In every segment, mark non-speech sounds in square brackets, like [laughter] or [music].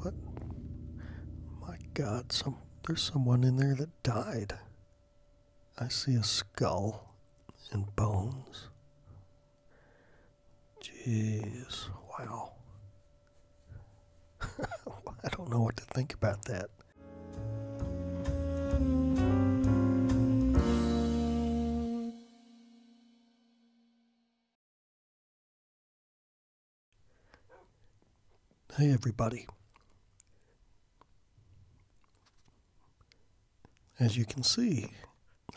What? My God! there's someone in there that died. I see a skull and bones. Jeez! Wow. [laughs] I don't know what to think about that. Hey, everybody. As you can see,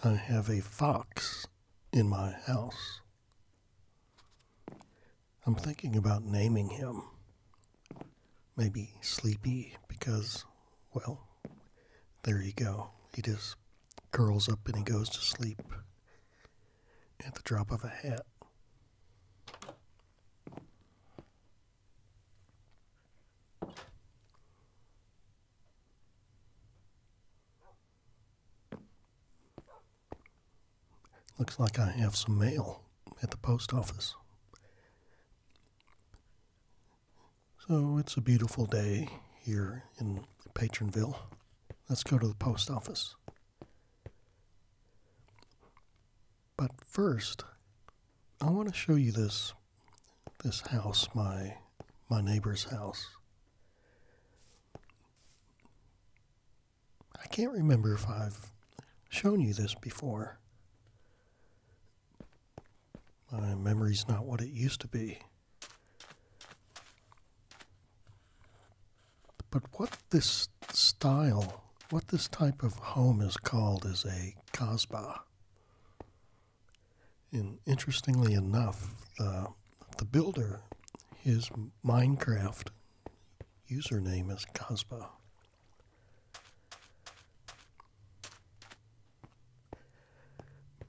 I have a fox in my house. I'm thinking about naming him. Maybe Sleepy, because, well, there you go. He just curls up and he goes to sleep at the drop of a hat. Looks like I have some mail at the post office. So it's a beautiful day here in Patronville. Let's go to the post office. But first, I want to show you this this house, my my neighbor's house. I can't remember if I've shown you this before. My memory's not what it used to be. But what this style, what this type of home is called is a kasbah. And interestingly enough, the, the builder, his Minecraft username is Kasbah.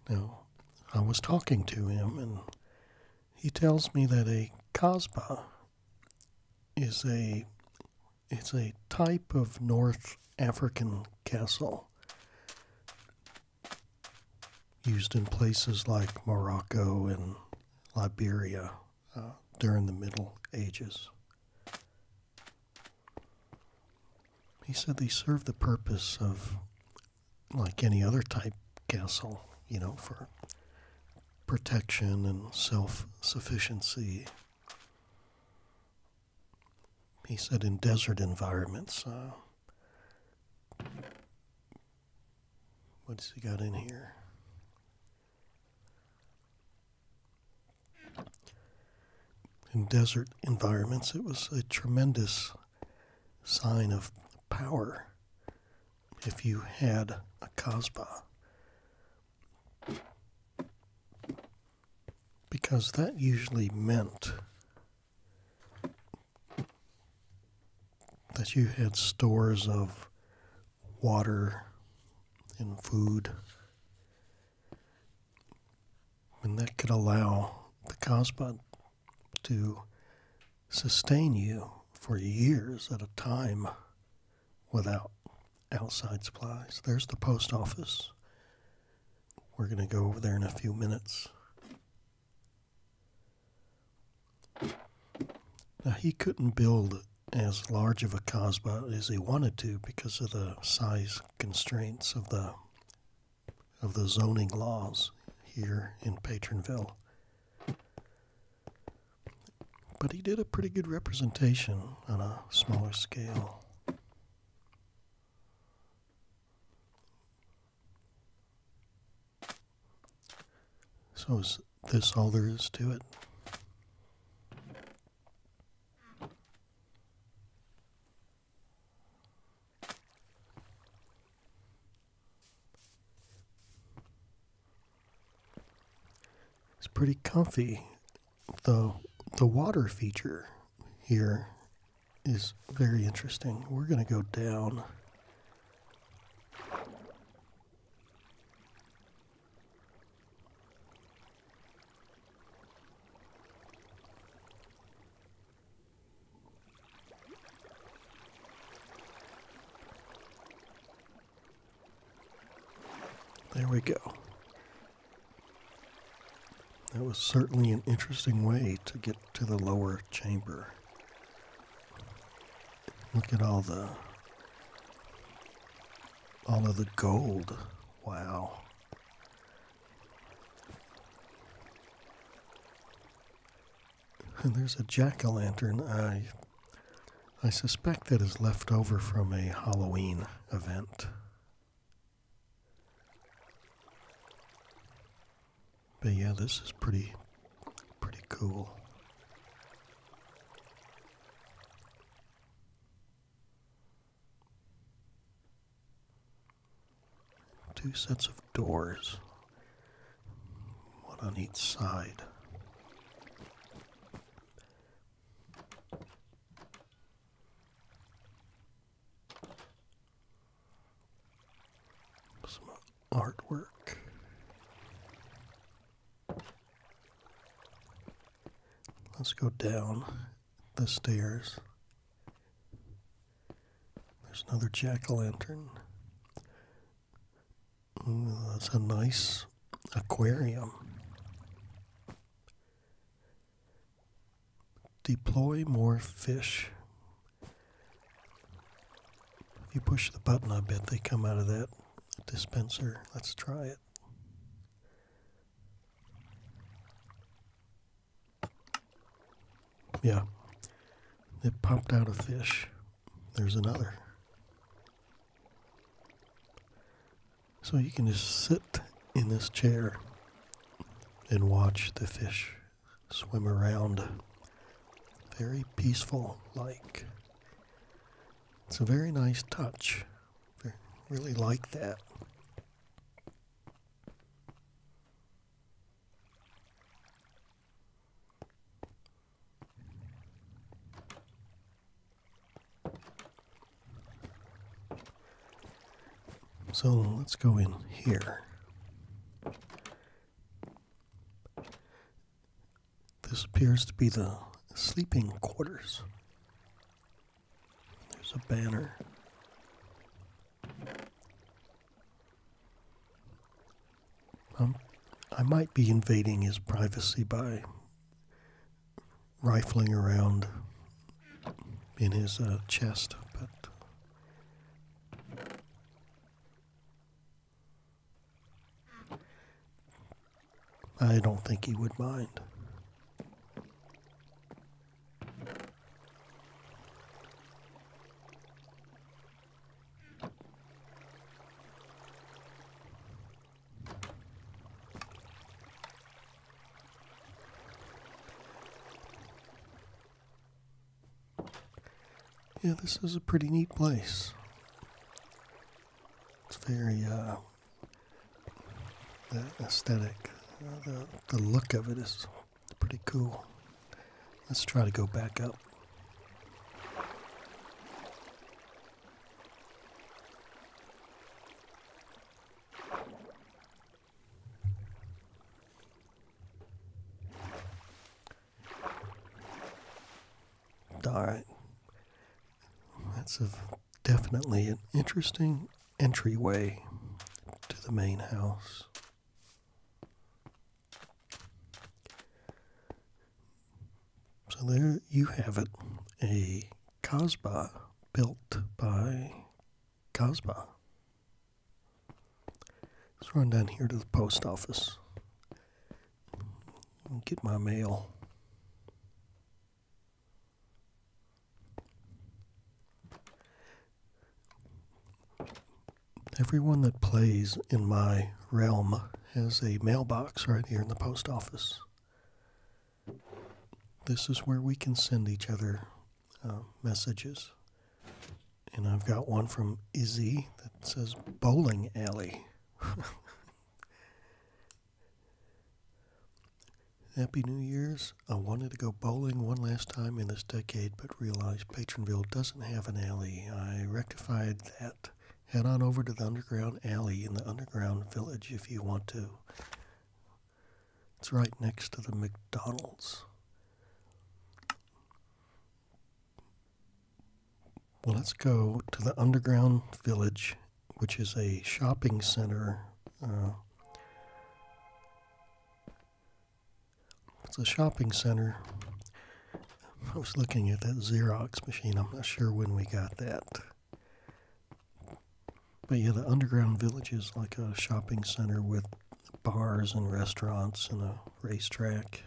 Now, I was talking to him, and he tells me that a kasbah is a it's a type of North African castle used in places like Morocco and Liberia uh, during the Middle Ages. He said they serve the purpose of, like any other type castle, you know, for protection and self sufficiency. He said in desert environments. Uh, what's he got in here? In desert environments, it was a tremendous sign of power if you had a kasbah. Because that usually meant that you had stores of water and food and that could allow the Cosbot to sustain you for years at a time without outside supplies. There's the post office. We're going to go over there in a few minutes. Now, he couldn't build as large of a Cosbot as he wanted to because of the size constraints of the of the zoning laws here in Patronville. But he did a pretty good representation on a smaller scale. So, is this all there is to it? It's pretty comfy. The, the water feature here is very interesting. We're going to go down. There we go. That was certainly an interesting way to get to the lower chamber. Look at all the all of the gold. Wow. And [laughs] there's a jack-o'-lantern I I suspect that is left over from a Halloween event. But yeah, this is pretty pretty cool. Two sets of doors, one on each side. Some artwork. Let's go down the stairs. There's another jack o' lantern that's a nice aquarium. Deploy more fish. If you push the button, I bet they come out of that dispenser. Let's try it. Yeah. It popped out a fish. There's another. So you can just sit in this chair and watch the fish swim around. Very peaceful like. It's a very nice touch. Really like that. So let's go in here. This appears to be the sleeping quarters. There's a banner um, I might be invading his privacy by rifling around in his uh, chest, but. I don't think he would mind. Yeah, this is a pretty neat place. It's very, uh, aesthetic, uh, the look of it is Pretty cool. Let's try to go back up. Alright. That's definitely an interesting entryway to the main house. So there you have it, a Casbah built by Casbah. Let's run down here to the post office and get my mail. Everyone that plays in my realm has a mailbox right here in the post office. This is where we can send each other uh, messages. And I've got one from Izzy that says bowling alley. [laughs] Happy New Year's. I wanted to go bowling one last time in this decade, but realized Patronville doesn't have an alley. I rectified that. Head on over to the Underground Alley in the Underground Village if you want to. It's right next to the McDonald's. Well, let's go to the Underground Village, which is a shopping center. Uh, it's a shopping center. I was looking at that Xerox machine. I'm not sure when we got that. But yeah, the underground village is like a shopping center with bars and restaurants and a racetrack.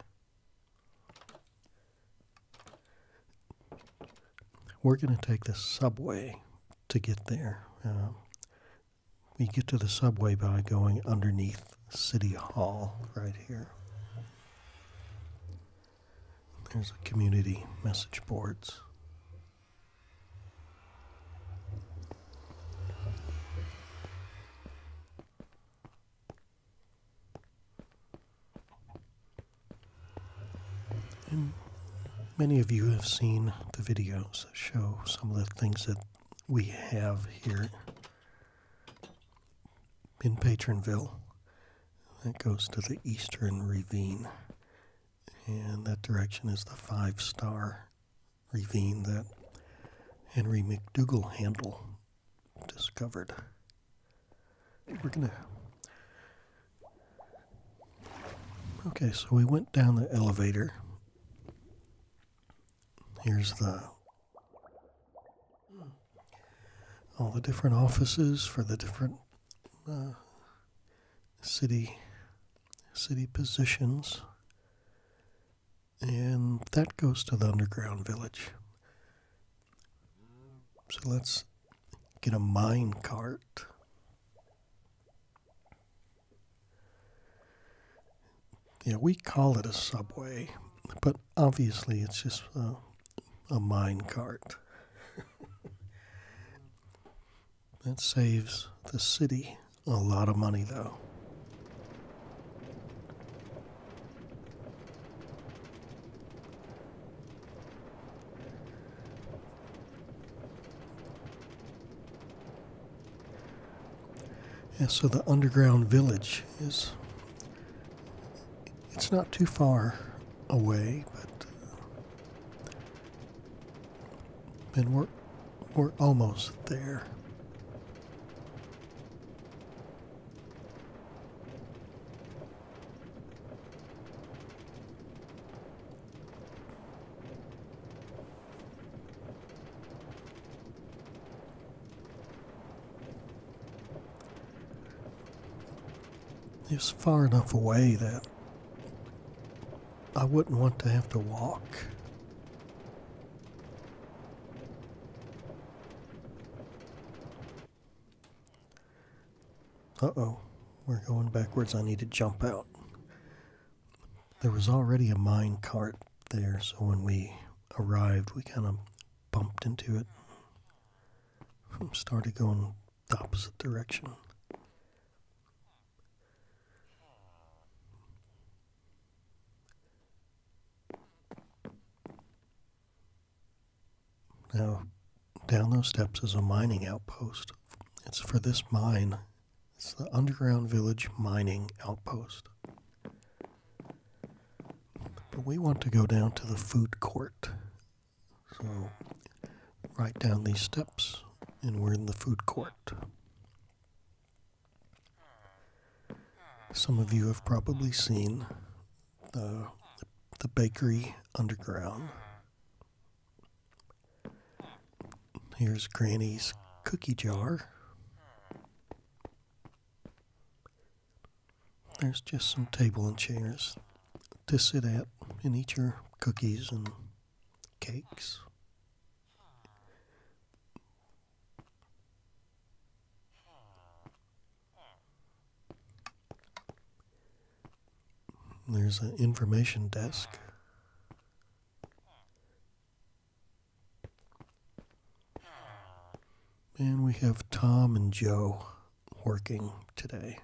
We're going to take the subway to get there. Uh, we get to the subway by going underneath City Hall right here. There's a community message boards. And many of you have seen the videos that show some of the things that we have here in Patronville. That goes to the Eastern Ravine. And that direction is the five star ravine that Henry McDougal Handle discovered. We're gonna. Okay, so we went down the elevator Here's the all the different offices for the different uh, city city positions, and that goes to the underground village. So let's get a mine cart. Yeah, we call it a subway, but obviously it's just a, a mine cart. [laughs] that saves the city a lot of money, though. And so the underground village is it's not too far away, but uh, and we're we're almost there. It's far enough away that I wouldn't want to have to walk. Uh oh, we're going backwards. I need to jump out. There was already a mine cart there, so when we arrived, we kind of bumped into it. Started going the opposite direction. Now, down those steps is a mining outpost. It's for this mine it's the underground village mining outpost. But we want to go down to the food court. So, right down these steps, and we're in the food court. Some of you have probably seen the, the bakery underground Here's Granny's cookie jar. There's just some table and chairs to sit at and eat your cookies and cakes. There's an information desk. And we have Tom and Joe working today.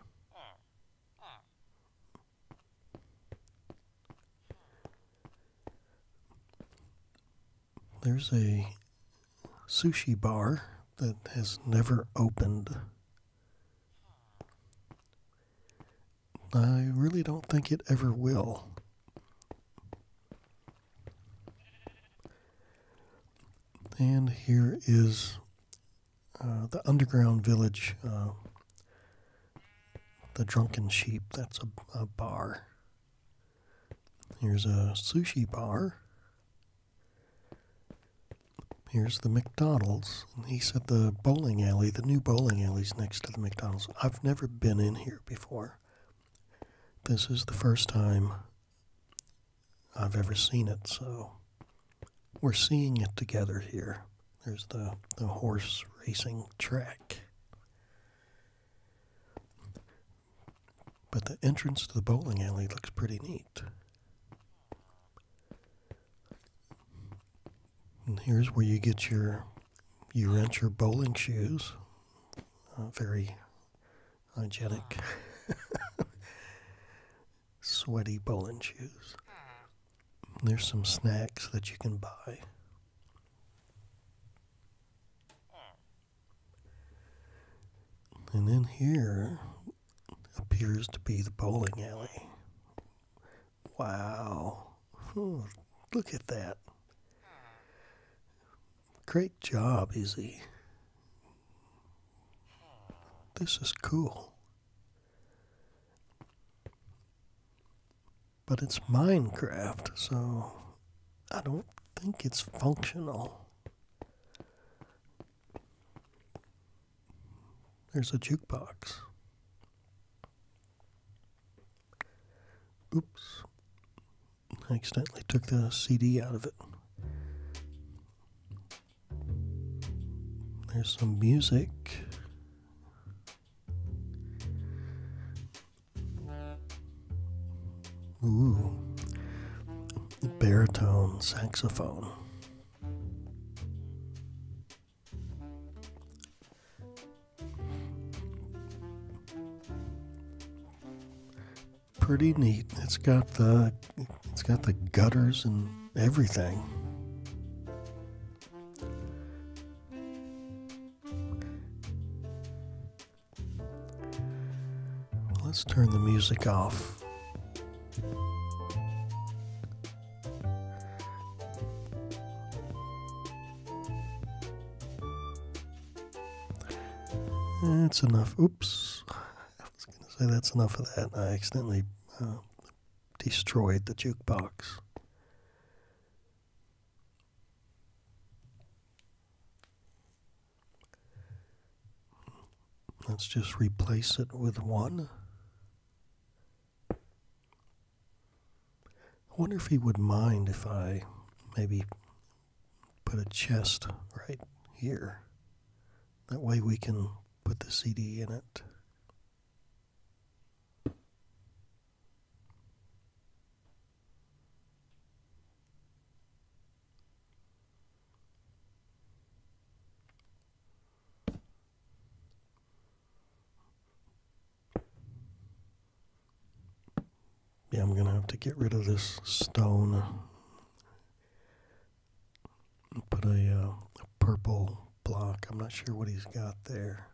There's a sushi bar that has never opened. I really don't think it ever will. And here is uh, the underground village, uh, the Drunken Sheep. That's a, bar. Here's a sushi bar. Here's the McDonald's. And he said the bowling alley, the new bowling alley's next to the McDonald's. I've never been in here before. This is the first time I've ever seen it, so we're seeing it together here. There's the, the horse racing track. But the entrance to the bowling alley looks pretty neat. And here's where you get your, you rent your bowling shoes. Uh, very hygienic, [laughs] sweaty bowling shoes. there's some snacks that you can buy. And then here appears to be the bowling alley. Wow. Hmm. look at that. Great job, Izzy. This is cool. But it's Minecraft, so I don't think it's functional. There's a jukebox. Oops. I accidentally took the CD out of it. There's some music. Ooh. Baritone saxophone. Pretty neat. It's got the it's got the gutters and everything. Let's turn the music off. That's enough. Oops. [laughs] I was going to say that's enough of that. I accidentally uh, destroyed the jukebox. Let's just replace it with one. I wonder if he would mind if I maybe put a chest right here. That way we can put the CD in it. Yeah, I'm going to have to get rid of this stone put a uh, purple block. I'm not sure what he's got there.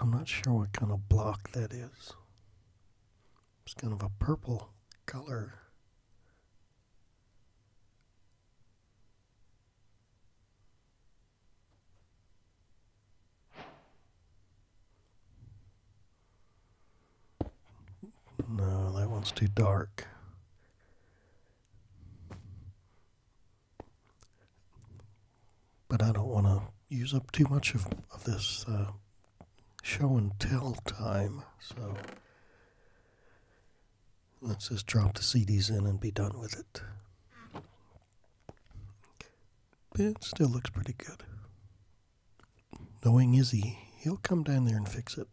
I'm not sure what kind of block that is. It's kind of a purple color. No, that one's too dark. But I don't want to use up too much of, of this uh, show and tell time, so let's just drop the CDs in and be done with it. It still looks pretty good knowing is he'll he come down there and fix it.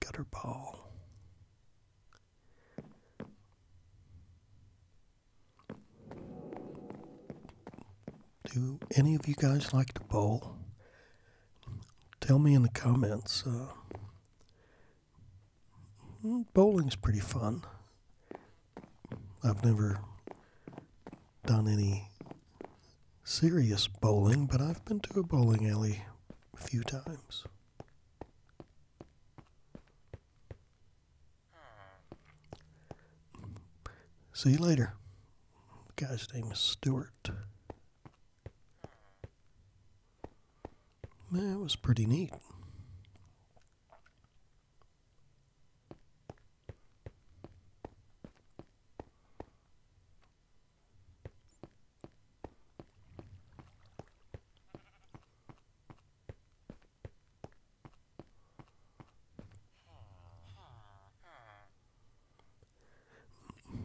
Gutter ball. Do any of you guys like to bowl? Tell me in the comments. Uh, bowling's pretty fun. I've never done any serious bowling, but I've been to a bowling alley a few times. See you later. guy's name is Stewart. That was pretty neat.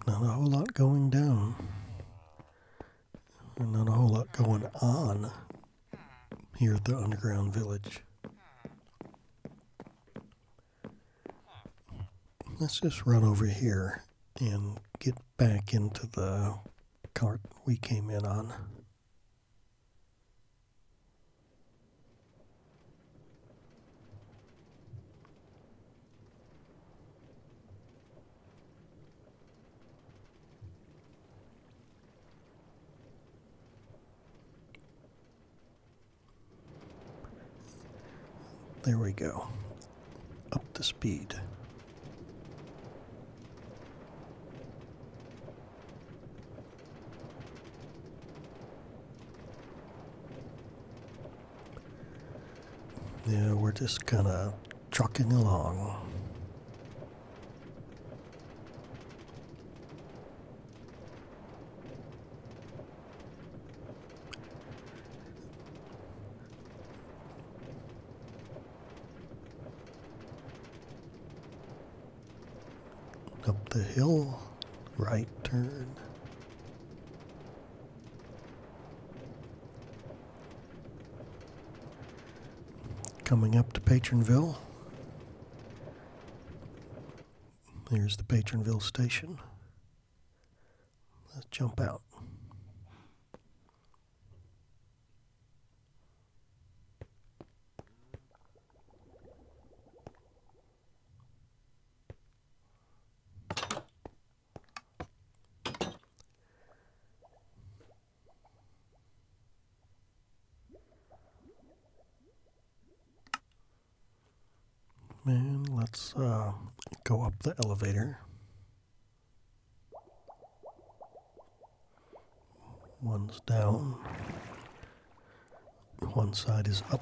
Not a whole lot going down. Not a whole lot going on here at the underground village. Let's just run over here and get back into the cart we came in on. There we go. Up the speed. Yeah, we're just kind of trucking along. Up the hill, right turn coming up to Patronville. Here's the Patronville station. Let's jump out. Man, let's uh, go up the elevator. One's down, one side is up.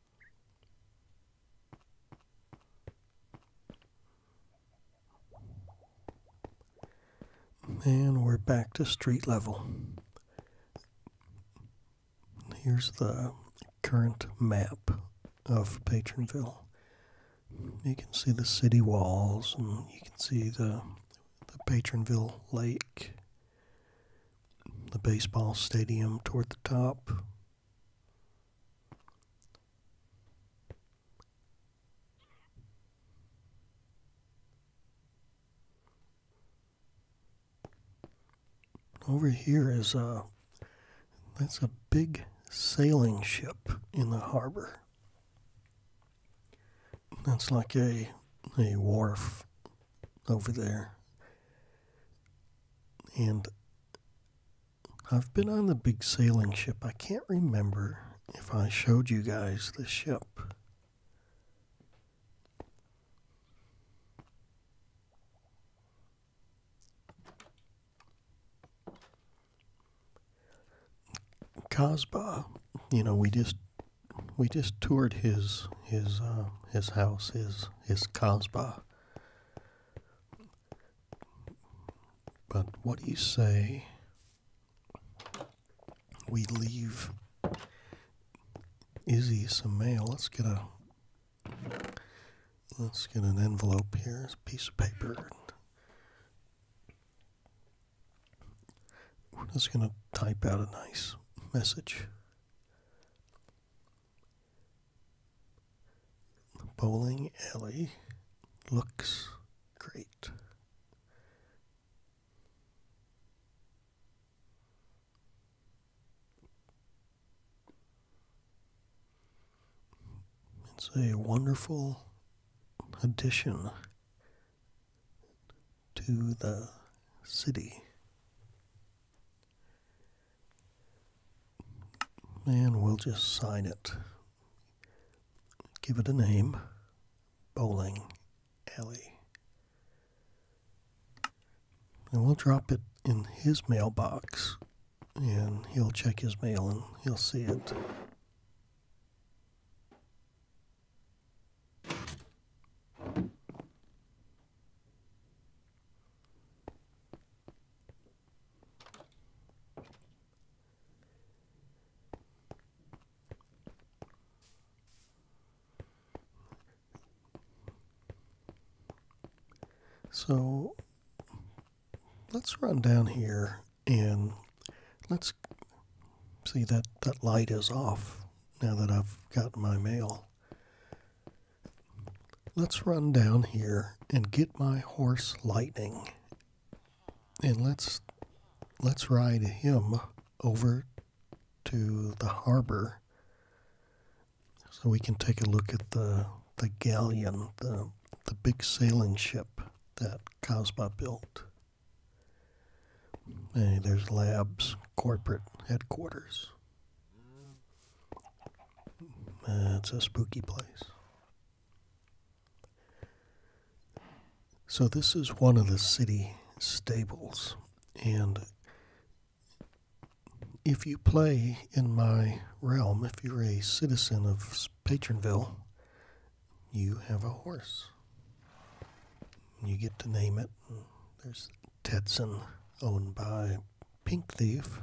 And we're back to street level. Here's the current map of Patronville. You can see the city walls and you can see the, the Patronville Lake, the baseball stadium toward the top, over here is a that's a big sailing ship in the harbor. That's like a a wharf over there. And I've been on the big sailing ship. I can't remember if I showed you guys the ship. Cosba, you know, we just we just toured his his uh, his house, his his Cosba, but what do you say, we leave Izzy some mail. Let's get a let's get an envelope here, a piece of paper. We're just gonna type out a nice message. The bowling alley looks great. It's a wonderful addition to the city and we'll just sign it. Give it a name Bowling Alley. And we'll drop it in his mailbox, and he'll check his mail and he'll see it. So let's run down here and let's see that that light is off now that I've got my mail. Let's run down here and get my horse Lightning. And let's let's ride him over to the harbor so we can take a look at the the galleon, the the big sailing ship that Cosma built. Hey, there's labs, corporate headquarters it's a spooky place. So, this is one of the city stables, and if you play in my realm, if you're a citizen of Patronville, you have a horse. You get to name it. There's Tetson, owned by Pink Thief,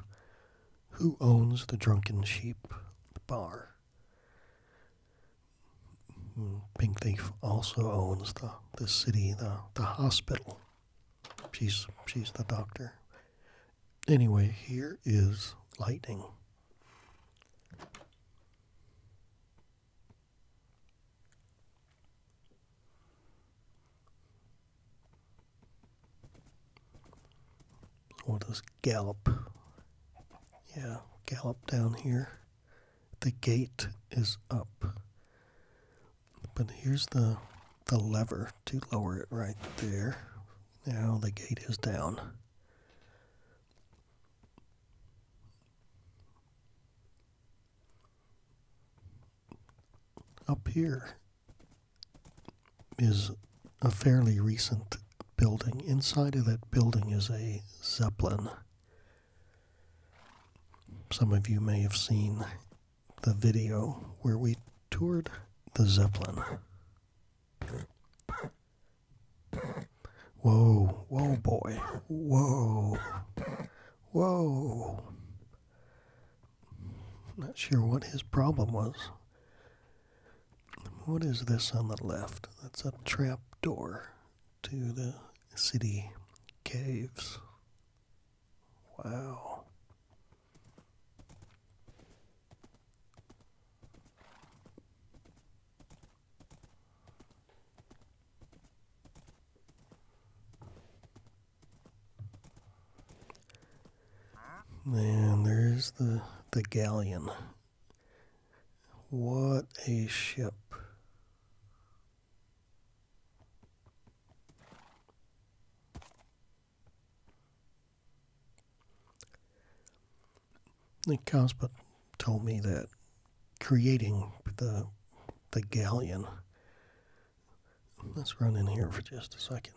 who owns the drunken sheep bar? Hmm, Pink Thief also owns the, the city, the, the hospital. She's, she's the doctor. Anyway, here is lightning. Or does gallop? Yeah, gallop down here. The gate is up. But here's the the lever to lower it right there. Now the gate is down. Up here is a fairly recent building. Inside of that building is a Zeppelin. Some of you may have seen the video where we toured the Zeppelin. Whoa, whoa, boy. Whoa. Whoa. Not sure what his problem was. What is this on the left? That's a trap door to the city caves. Wow. Man, there's the, the galleon. What a ship. The Cosput told me that creating the the galleon Let's run in here for just a second.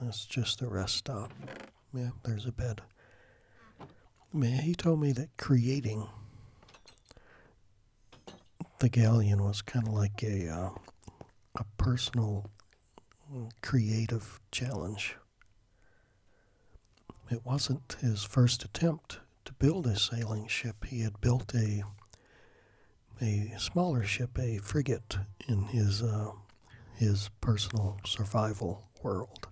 That's just a rest stop. Yeah, there's a bed. Man, he told me that creating the galleon was kind of like a uh, a personal creative challenge. It wasn't his first attempt to build a sailing ship. He had built a a smaller ship, a frigate, in his uh, his personal survival world.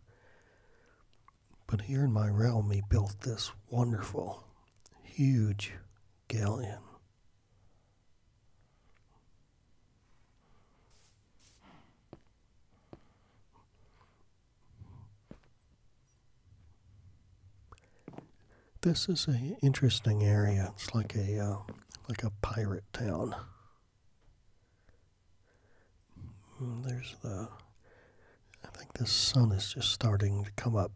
But here in my realm, he built this wonderful, huge galleon this is an interesting area. It's like a uh, like a pirate town. Mm, there's the. I think the sun is just starting to come up.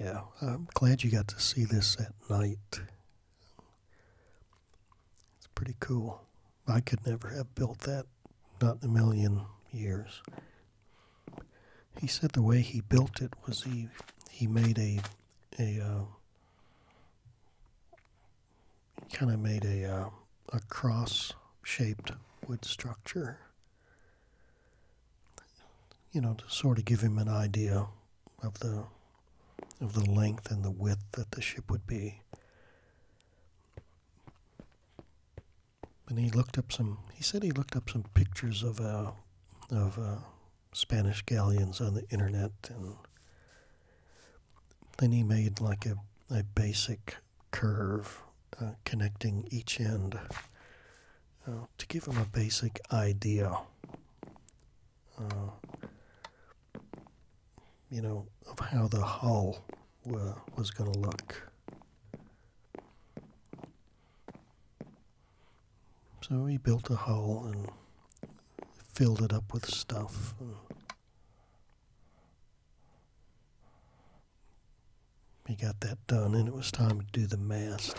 Yeah, I'm glad you got to see this at night. It's pretty cool. I could never have built that, not in a million years. He said the way he built it was he he made a a uh, kind of made a uh, a cross shaped wood structure. You know, to sort of give him an idea of the of the length and the width that the ship would be. And he looked up some. He said he looked up some pictures of uh, of uh, Spanish galleons on the internet, and then he made like a a basic curve uh, connecting each end uh, to give him a basic idea uh, you know, of how the hull were, was going to look. So we built a hull and filled it up with stuff. We got that done, and it was time to do the mast.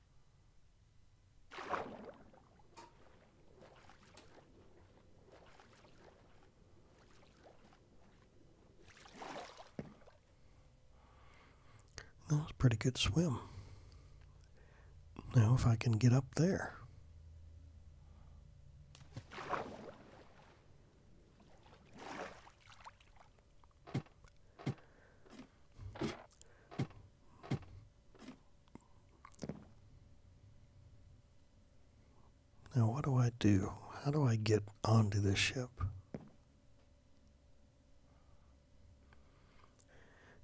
That was a pretty good swim. Now, if I can get up there. Now, what do I do? How do I get onto this ship?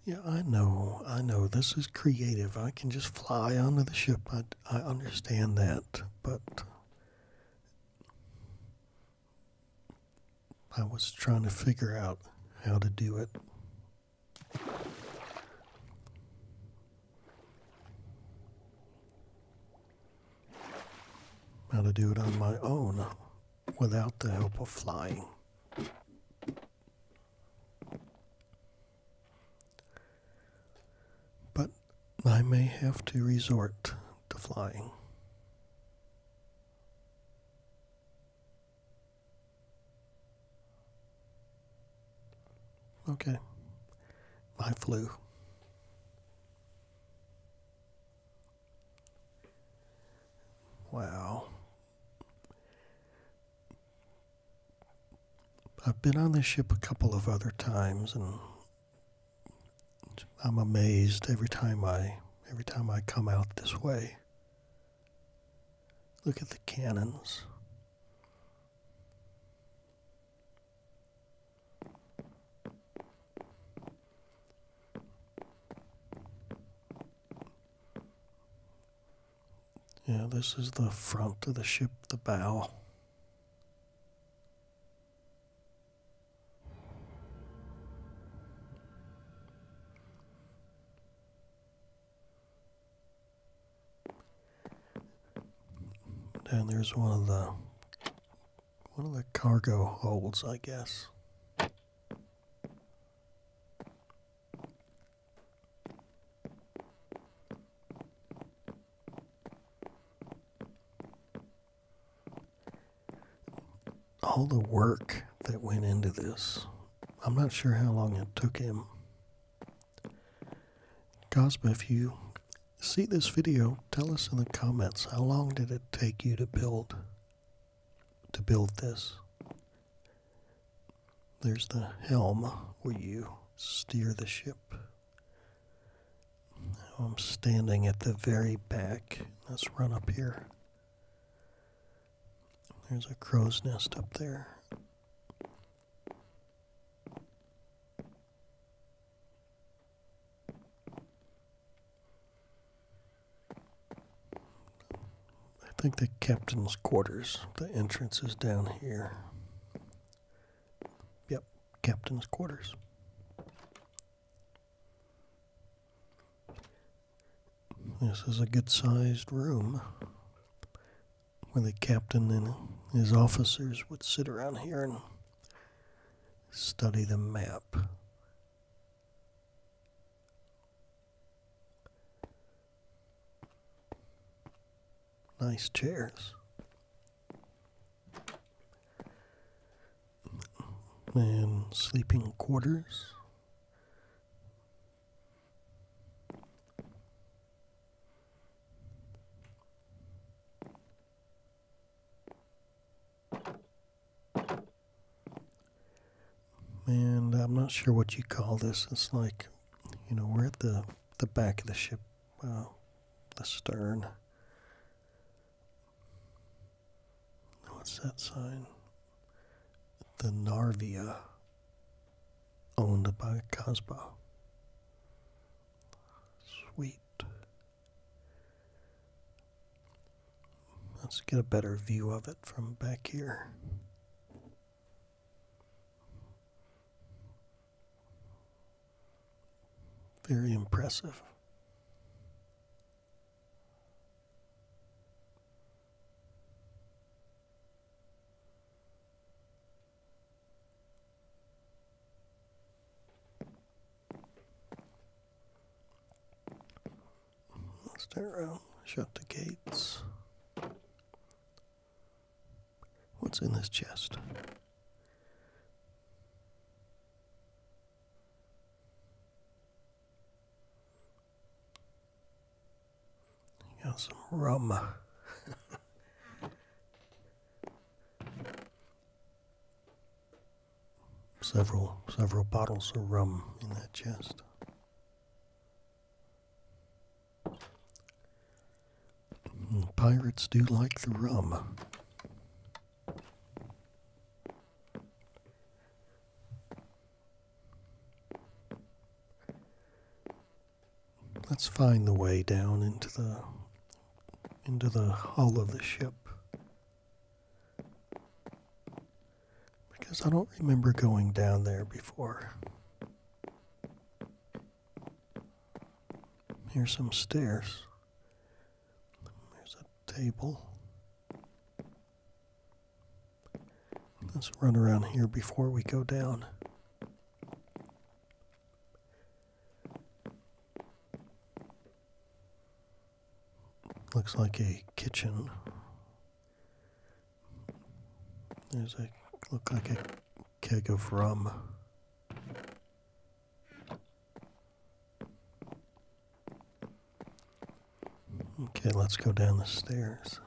Yeah, I know. I know. This is creative. I can just fly onto the ship. I, I understand that. But I was trying to figure out how to do it. How to do it on my own without the help of flying. But I may have to resort to flying. Okay. I flew. Well, I've been on this ship a couple of other times and I'm amazed every time I every time I come out this way. Look at the cannons. Yeah, this is the front of the ship, the bow. And there's one of the one of the cargo holds, I guess. All the work that went into this I'm not sure how long it took him. Cosmo, if you see this video, tell us in the comments how long did it take you to build to build this. There's the helm where you steer the ship. I'm standing at the very back. Let's run up here. There's a crow's nest up there. I think the captain's quarters, the entrance is down here. Yep, captain's quarters. This is a good sized room where the captain and his officers would sit around here and study the map. Nice chairs. And sleeping quarters and I'm not sure what you call this. It's like, you know, we're at the, the back of the ship, uh, the stern. What's that sign? the Narvia owned by Casbah. Sweet. Let's get a better view of it from back here. Very impressive let around, shut the gates. What's in this chest? You got some rum. [laughs] several several bottles of rum in that chest. pirates do like the rum. Let's find the way down into the into the hull of the ship. Because I don't remember going down there before. Here's some stairs. There's a table. Let's run around here before we go down. Looks like a kitchen. There's a look like a keg of rum. Okay, let's go down the stairs.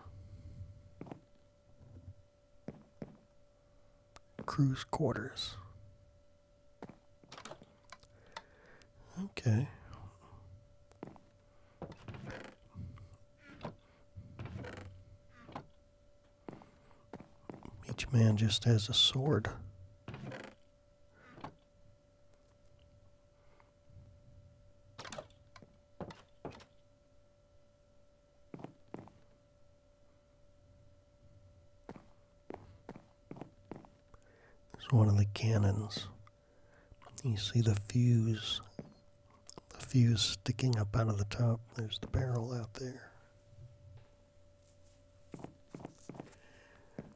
Crew's quarters. Okay. Each man just has a sword. It's one of the cannons. You see the fuse, the fuse sticking up out of the top. There's the barrel out there.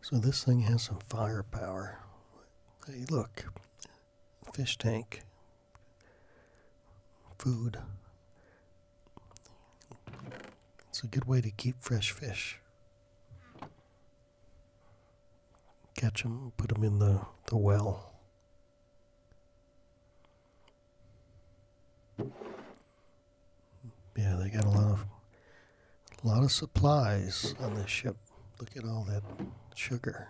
So this thing has some firepower. Hey, look, fish tank, food. It's a good way to keep fresh fish. Catch them, put them in the, the well. Yeah, they got a lot of a lot of supplies on this ship. Look at all that sugar.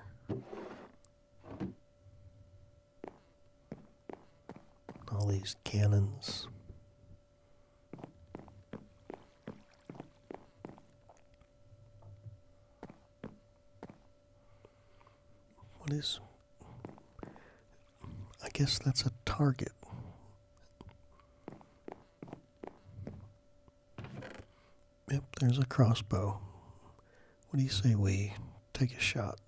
All these cannons. What is. I guess that's a target. Yep, there's a crossbow. What do you say we take a shot?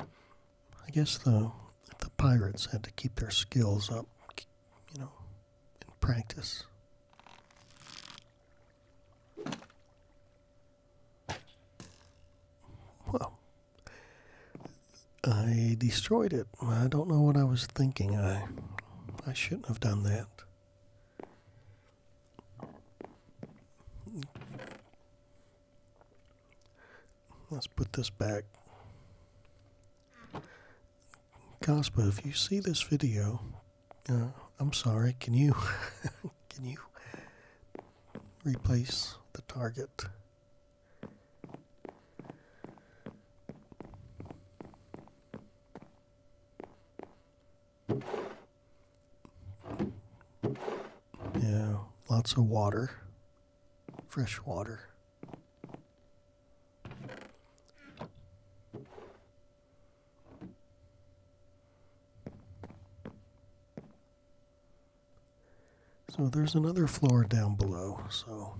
I guess the the pirates had to keep their skills up, you know, in practice. Well, I destroyed it. I don't know what I was thinking. I I shouldn't have done that. Let's put this back. Cosmo, if you see this video, uh, I'm sorry. Can you [laughs] can you replace the target? Yeah, lots of water, fresh water. So there's another floor down below. So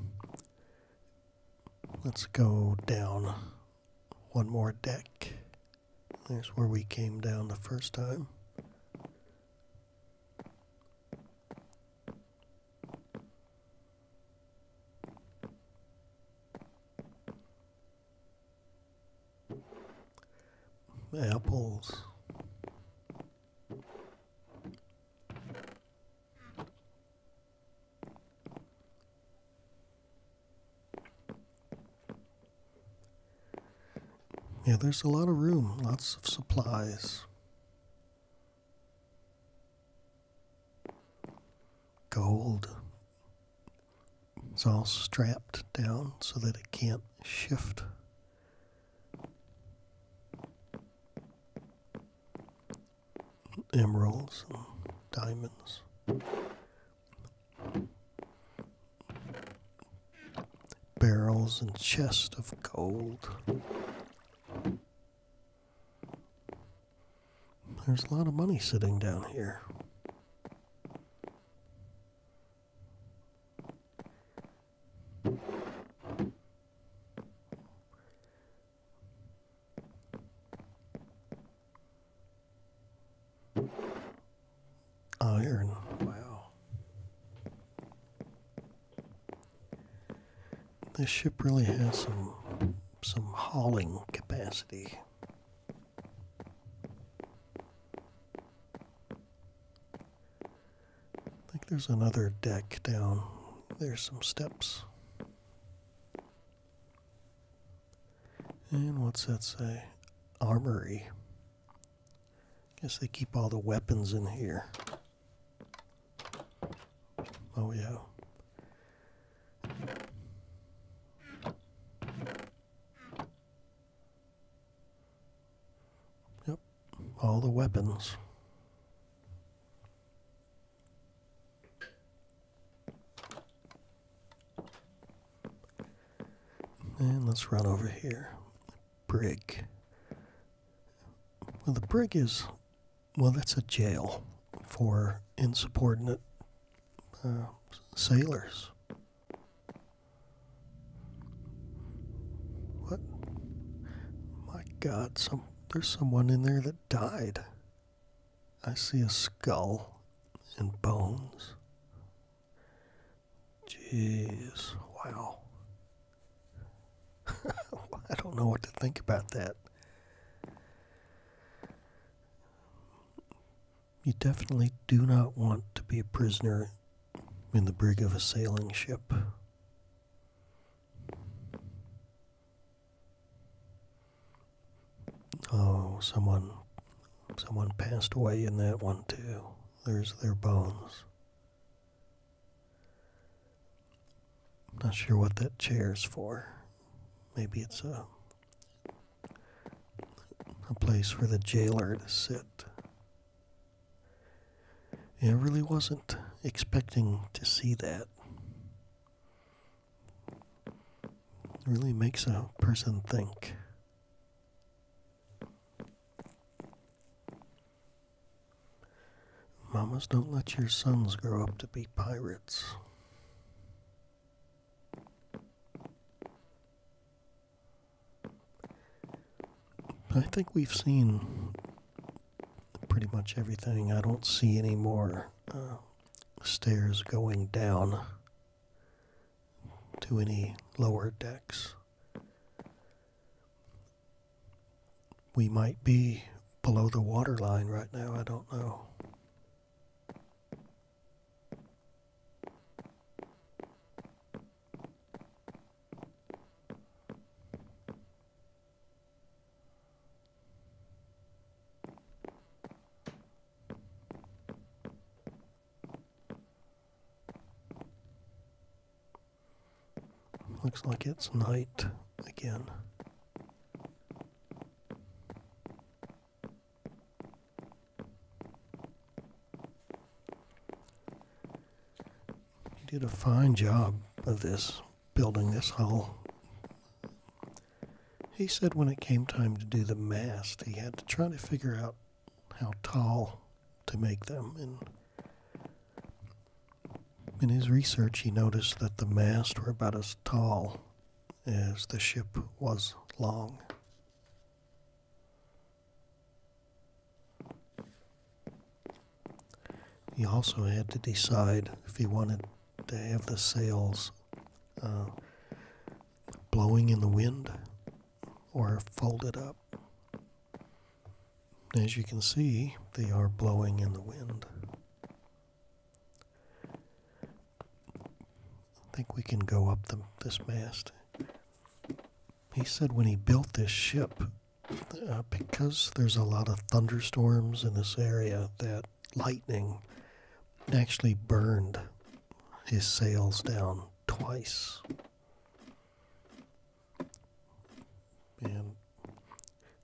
Let's go down one more deck. There's where we came down the first time. Apples. Yeah, there's a lot of room, lots of supplies. Gold. It's all strapped down so that it can't shift emeralds and diamonds. Barrels and chests of gold. There's a lot of money sitting down here. Iron. Oh, wow. This ship really has some some hauling capacity. I think there's another deck down. There's some steps. And what's that say? Armory. Guess they keep all the weapons in here. Oh, yeah. Yep, all the weapons. And let's run over here. Brig. Well, the brig is, well, that's a jail for insubordinate uh, sailors. What? My God, some there's someone in there that died. I see a skull and bones. Jeez, wow. [laughs] I don't know what to think about that. You definitely do not want to be a prisoner in the brig of a sailing ship. Oh, someone someone passed away in that one too. There's their bones. Not sure what that chair's for. Maybe it's a a place for the jailer to sit. I really wasn't expecting to see that really makes a person think. Mamas, don't let your sons grow up to be pirates. I think we've seen pretty much everything. I don't see any more uh, stairs going down to any lower decks. We might be below the waterline right now. I don't know. Looks like it's night again. did a fine job of this building this hull. He said when it came time to do the mast, he had to try to figure out how tall to make them. And in his research, he noticed that the masts were about as tall as the ship was long. He also had to decide if he wanted to have the sails uh, blowing in the wind or folded up. As you can see, they are blowing in the wind. I think we can go up the, this mast. He said when he built this ship, uh, because there's a lot of thunderstorms in this area, that lightning actually burned his sails down twice. And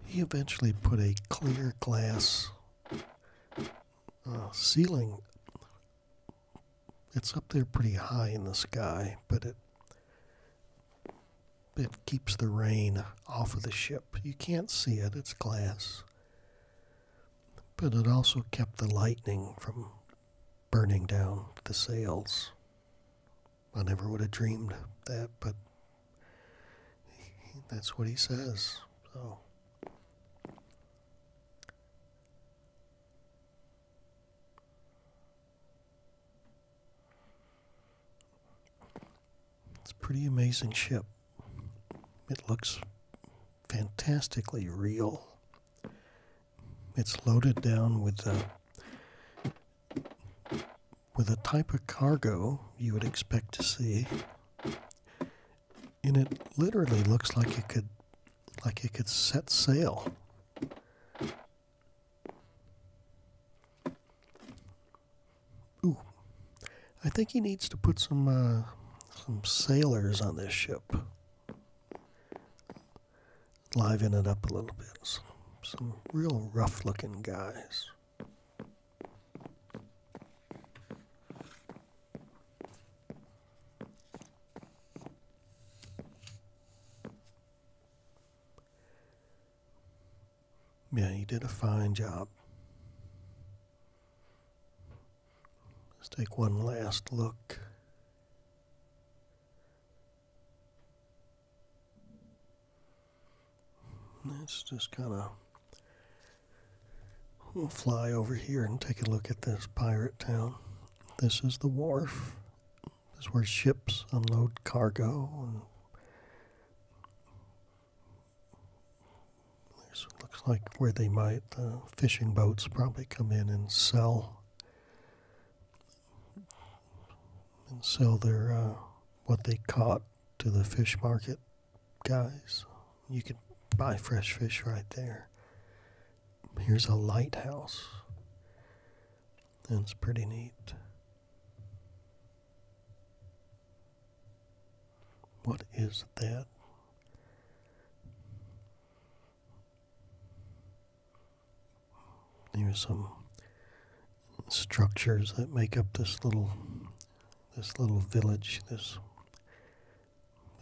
he eventually put a clear glass uh, ceiling. It's up there pretty high in the sky, but it it keeps the rain off of the ship. You can't see it, it's glass. But it also kept the lightning from burning down the sails. I never would have dreamed that, but that's what he says. So. It's a pretty amazing ship. It looks fantastically real. It's loaded down with a, with a type of cargo you would expect to see. And it literally looks like it could like it could set sail. Ooh, I think he needs to put some uh, some sailors on this ship. Liven it up a little bit. some real rough-looking guys. Yeah, you did a fine job. Let's take one last look. Let's just kind of fly over here and take a look at this pirate town. This is the wharf. This is where ships unload cargo there's looks like where they might, the uh, fishing boats probably come in and sell. And sell their, uh, what they caught to the fish market guys. You could buy fresh fish right there. Here's a lighthouse. That's pretty neat. What is that? are some structures that make up this little this little village, this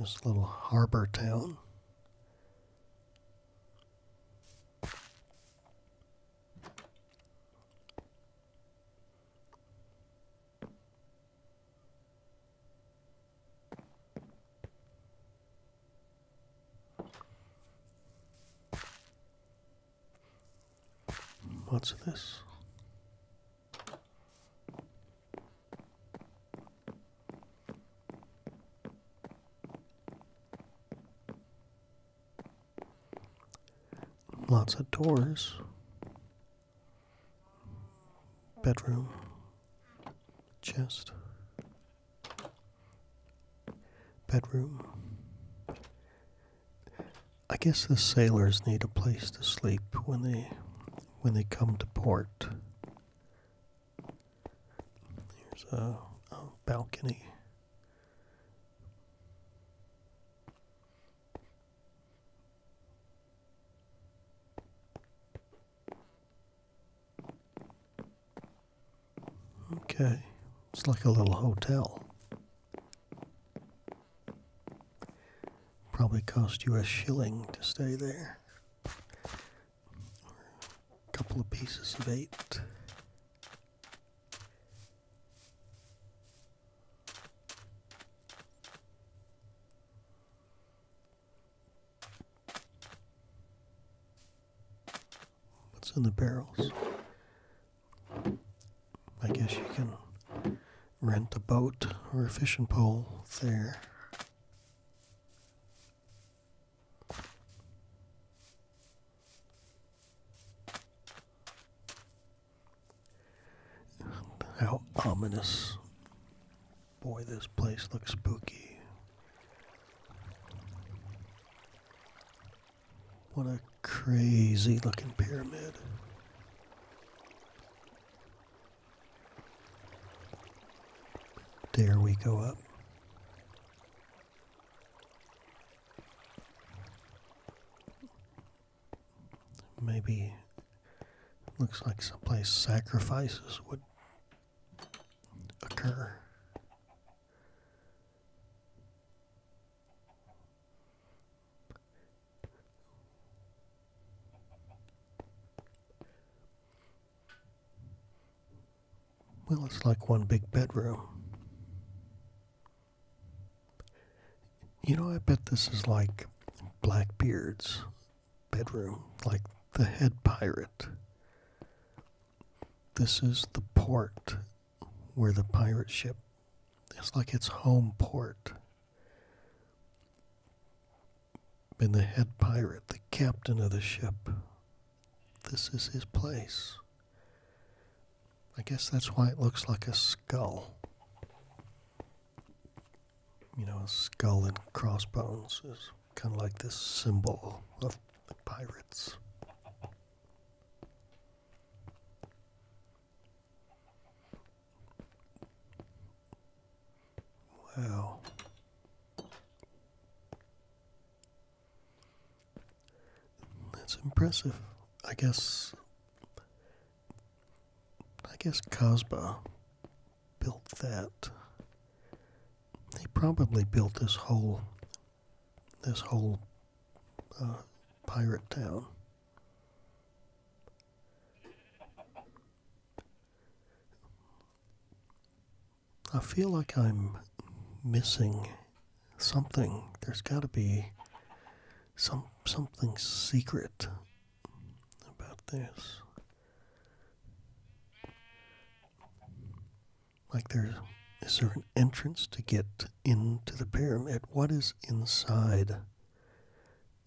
this little harbor town. What's this? Lots of doors. Bedroom. Chest. Bedroom. I guess the sailors need a place to sleep when they when they come to port. There's a balcony. Okay, it's like a little hotel. Probably cost you a shilling to stay there. a couple of pieces of eight. What's in the barrels? I guess you can rent a boat or a fishing pole there. How ominous. Boy, this place looks spooky. What a crazy looking pyramid. There we go up. Maybe looks like someplace sacrifices would occur. Well, it's like one big bedroom. You know, I bet this is like Blackbeard's bedroom, like the head pirate. This is the port where the pirate ship is like its home port. And the head pirate, the captain of the ship, this is his place. I guess that's why it looks like a skull. You know, a skull and crossbones is kind of like this symbol of the pirates. Wow. That's impressive. I guess I guess Cosba built that. He probably built this whole this whole uh, pirate town. I feel like I'm missing something. There's got to be some something secret about this. Like there's is there an entrance to get into the pyramid? What is inside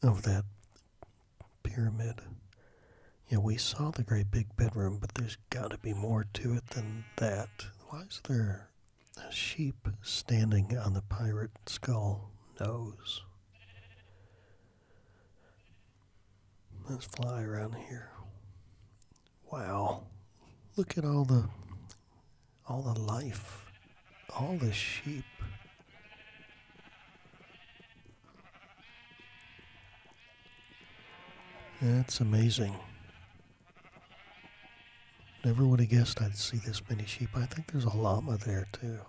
of that pyramid? Yeah, we saw the great big bedroom, but there's got to be more to it than that. Why is there a sheep standing on the pirate skull nose. Let's fly around here. Wow. Look at all the all the life. All the sheep. That's amazing. Never would have guessed I'd see this many sheep. I think there's a llama there too.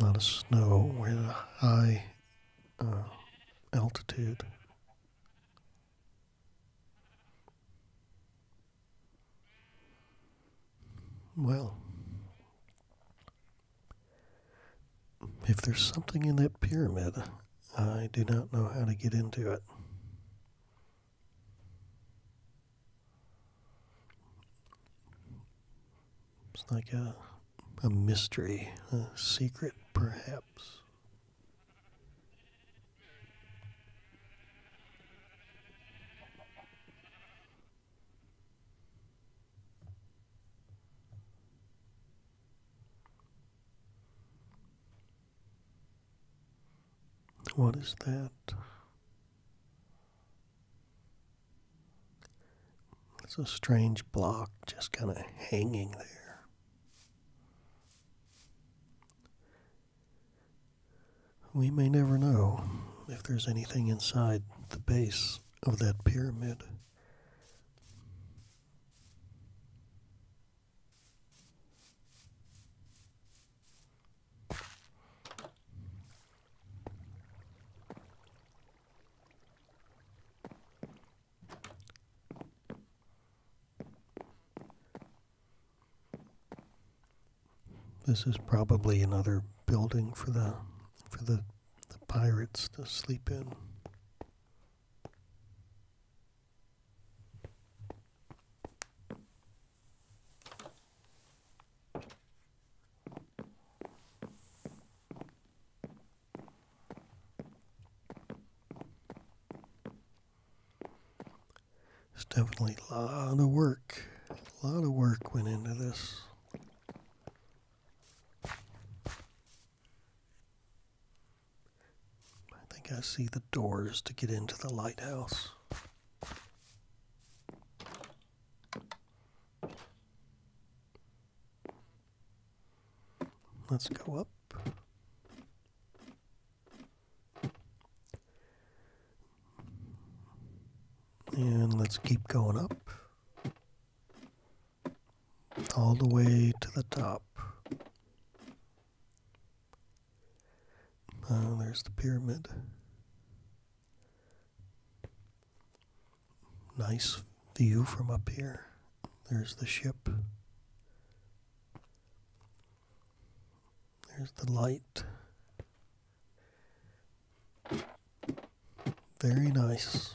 A lot of snow. We're at a high uh, altitude. Well, if there's something in that pyramid, I do not know how to get into it. It's like a, a mystery, a secret, perhaps. What is that? It's a strange block just kind of hanging there. We may never know if there's anything inside the base of that pyramid. This is probably another building for the for the, pirates to sleep in. It's definitely a lot of work. A lot of work went into this. I think I see the doors to get into the lighthouse. Let's go up. And let's keep going up all the way to the top. Uh, there's the pyramid. Nice view from up here. There's the ship. There's the light. Very nice.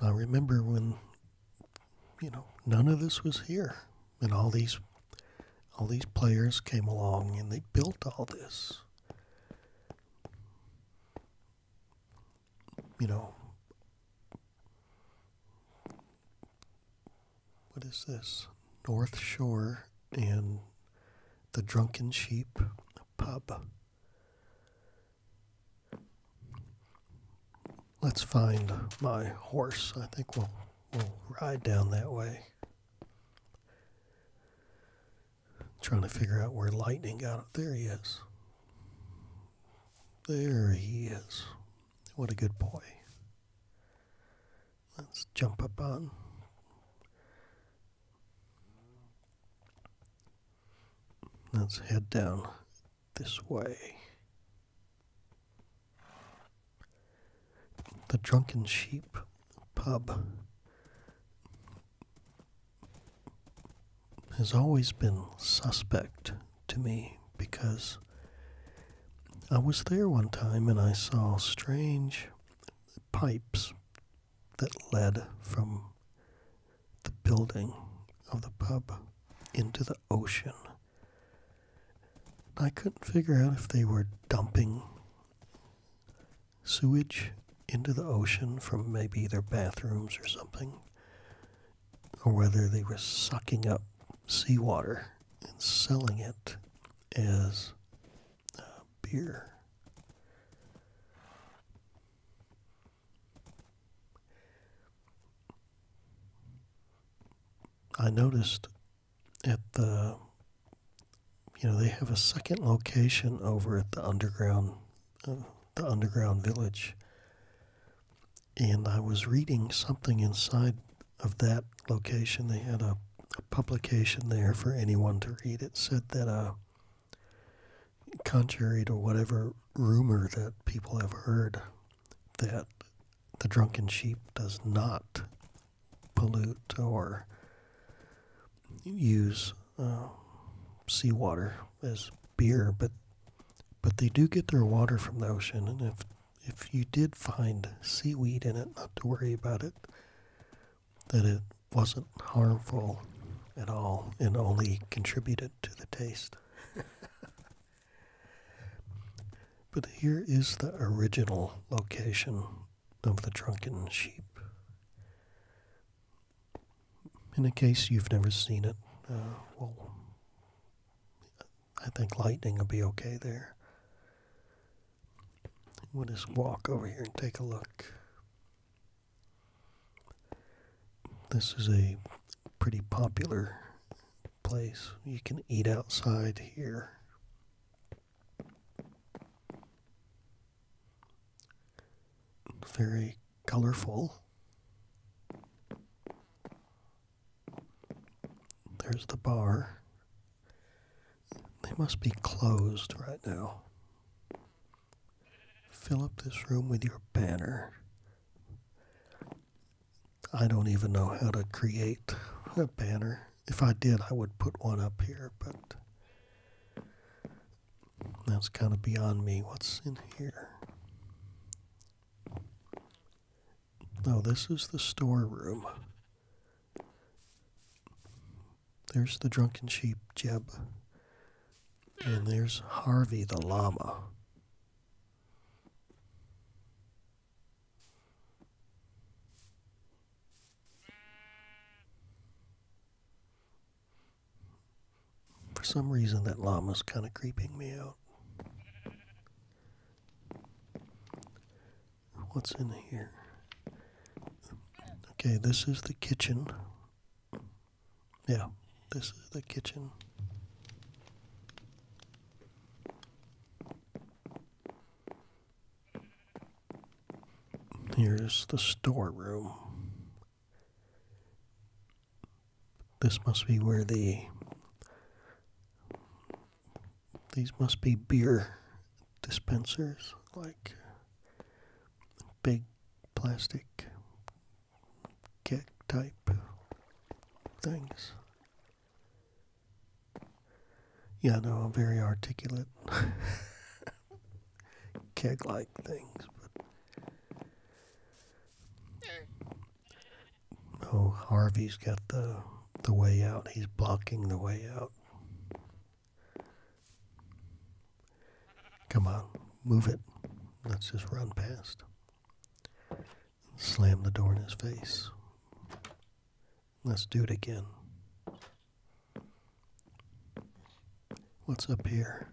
I remember when, you know, none of this was here, and all these, all these players came along and they built all this. You know, what is this? North Shore and the Drunken Sheep pub. Let's find my horse. I think we'll, we'll ride down that way. trying to figure out where lightning got up. There he is. There he is. What a good boy. Let's jump up on. Let's head down this way. The Drunken Sheep Pub has always been suspect to me because I was there one time and I saw strange pipes that led from the building of the pub into the ocean. I couldn't figure out if they were dumping sewage into the ocean from maybe their bathrooms or something, or whether they were sucking up seawater and selling it as uh, beer. I noticed at the, you know, they have a second location over at the underground, uh, the underground village. And I was reading something inside of that location. They had a, a publication there for anyone to read. It said that a uh, contrary to whatever rumor that people have heard that the drunken sheep does not pollute or use uh, seawater as beer, but but they do get their water from the ocean. And if if you did find seaweed in it, not to worry about it that it wasn't harmful at all and only contributed to the taste. [laughs] but here is the original location of the drunken sheep. In a case you've never seen it, uh, well, I think lightning will be okay there. We'll just walk over here and take a look. This is a pretty popular place. You can eat outside here. Very colorful. There's the bar. They must be closed right now. Fill up this room with your banner. I don't even know how to create a banner. If I did, I would put one up here, but that's kind of beyond me. What's in here? Oh, this is the storeroom. There's the drunken sheep, Jeb. And there's Harvey the llama. For some reason, that llama's kind of creeping me out. What's in here? Okay, this is the kitchen. Yeah, this is the kitchen. Here's the storeroom. This must be where the these must be beer dispensers, like big plastic keg type things. Yeah, no, I'm very articulate. [laughs] Keg like things, but. Oh, Harvey's got the the way out. He's blocking the way out. Come on, move it. Let's just run past. Slam the door in his face. Let's do it again. What's up here?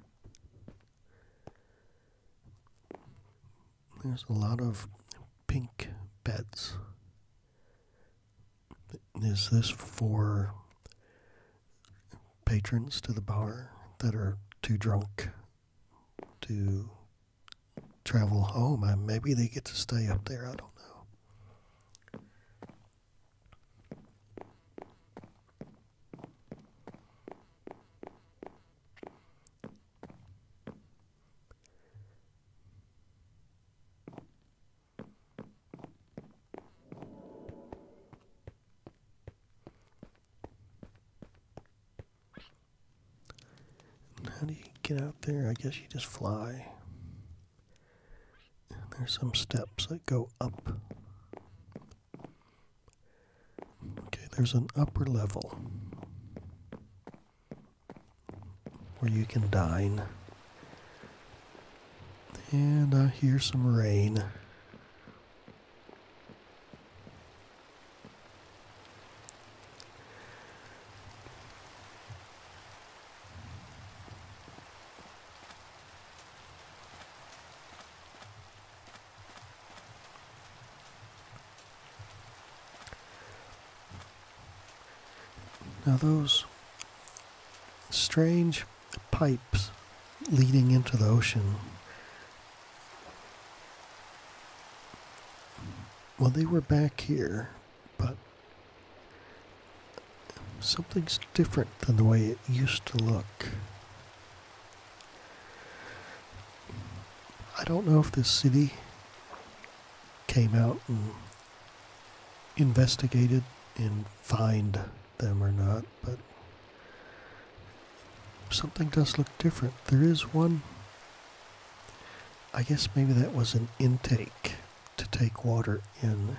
There's a lot of pink beds. Is this for patrons to the bar that are too drunk to travel home. maybe they get to stay up there. I don't know how do you get out there? I guess you just fly. there's some steps that go up. Okay, there's an upper level where you can dine. And I hear some rain. Now, those strange pipes leading into the ocean. Well, they were back here, but something's different than the way it used to look. I don't know if this city came out and investigated and fined them or not, but something does look different. There is one, I guess maybe that was an intake to take water in.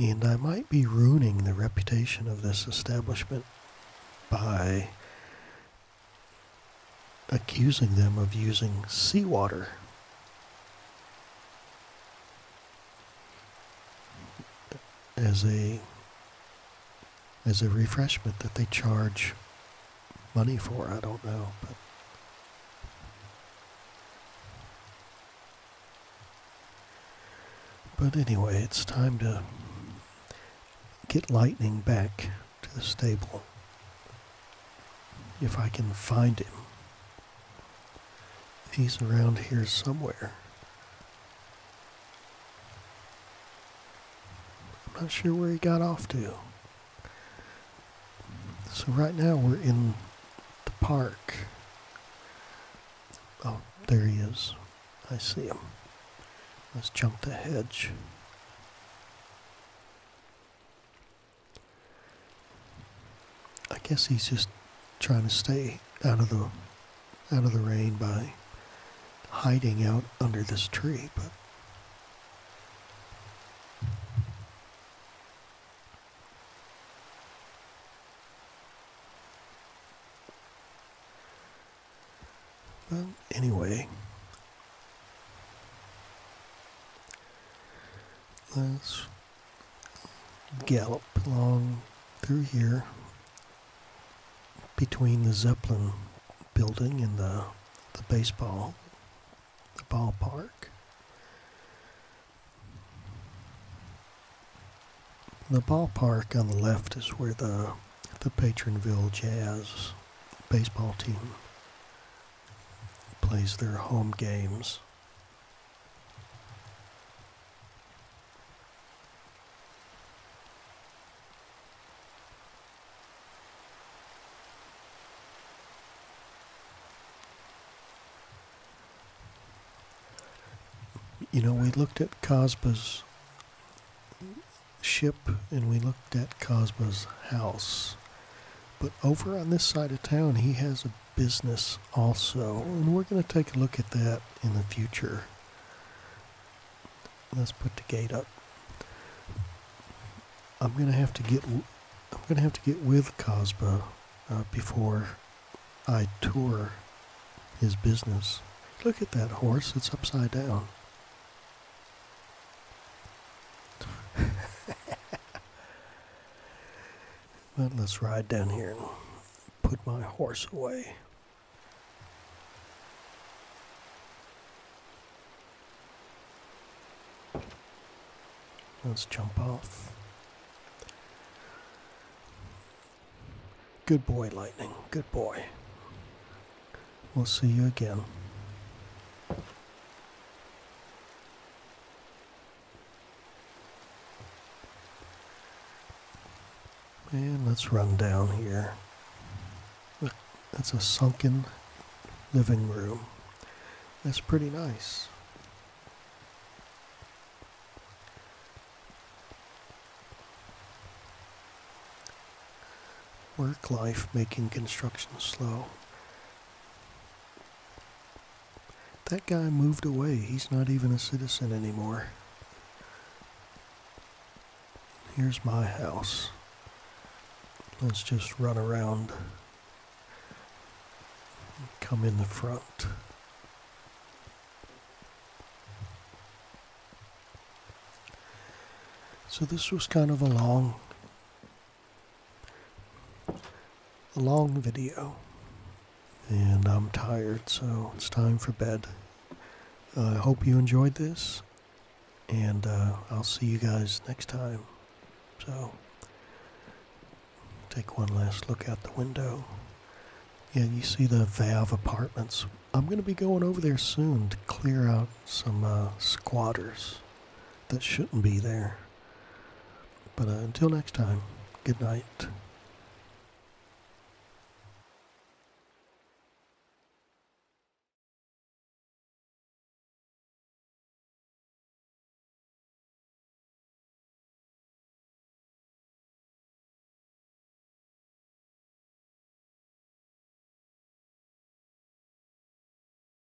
And I might be ruining the reputation of this establishment by accusing them of using seawater. As a as a refreshment that they charge money for. I don't know, but but anyway, it's time to get lightning back to the stable. If I can find him. He's around here somewhere. I'm not sure where he got off to. So right now we're in the park. Oh, there he is. I see him. Let's jump the hedge. I guess he's just trying to stay out of the out of the rain by hiding out under this tree, but anyway, let's gallop along through here between the Zeppelin building and the, the baseball, the ballpark. The ballpark on the left is where the, the Patronville Jazz baseball team plays their home games. You know, we looked at Cosba's ship and we looked at Cosba's house. But over on this side of town, he has a business also, and we're going to take a look at that in the future. Let's put the gate up. I'm going to have to get I'm going to have to get with Cosbo uh, before I tour his business. Look at that horse, it's upside down. [laughs] let's ride down here and put my horse away. Let's jump off. Good boy, Lightning. Good boy. We'll see you again. And let's run down here. that's a sunken living room. That's pretty nice. Work life making construction slow. That guy moved away. He's not even a citizen anymore. Here's my house. Let's just run around. Come in the front. So this was kind of a long a long video. And I'm tired, so it's time for bed. I hope you enjoyed this, and uh, I'll see you guys next time. So, take one last look out the window. Yeah, you see the Valve apartments. I'm going to be going over there soon to clear out some uh, squatters that shouldn't be there. But uh, until next time, good night.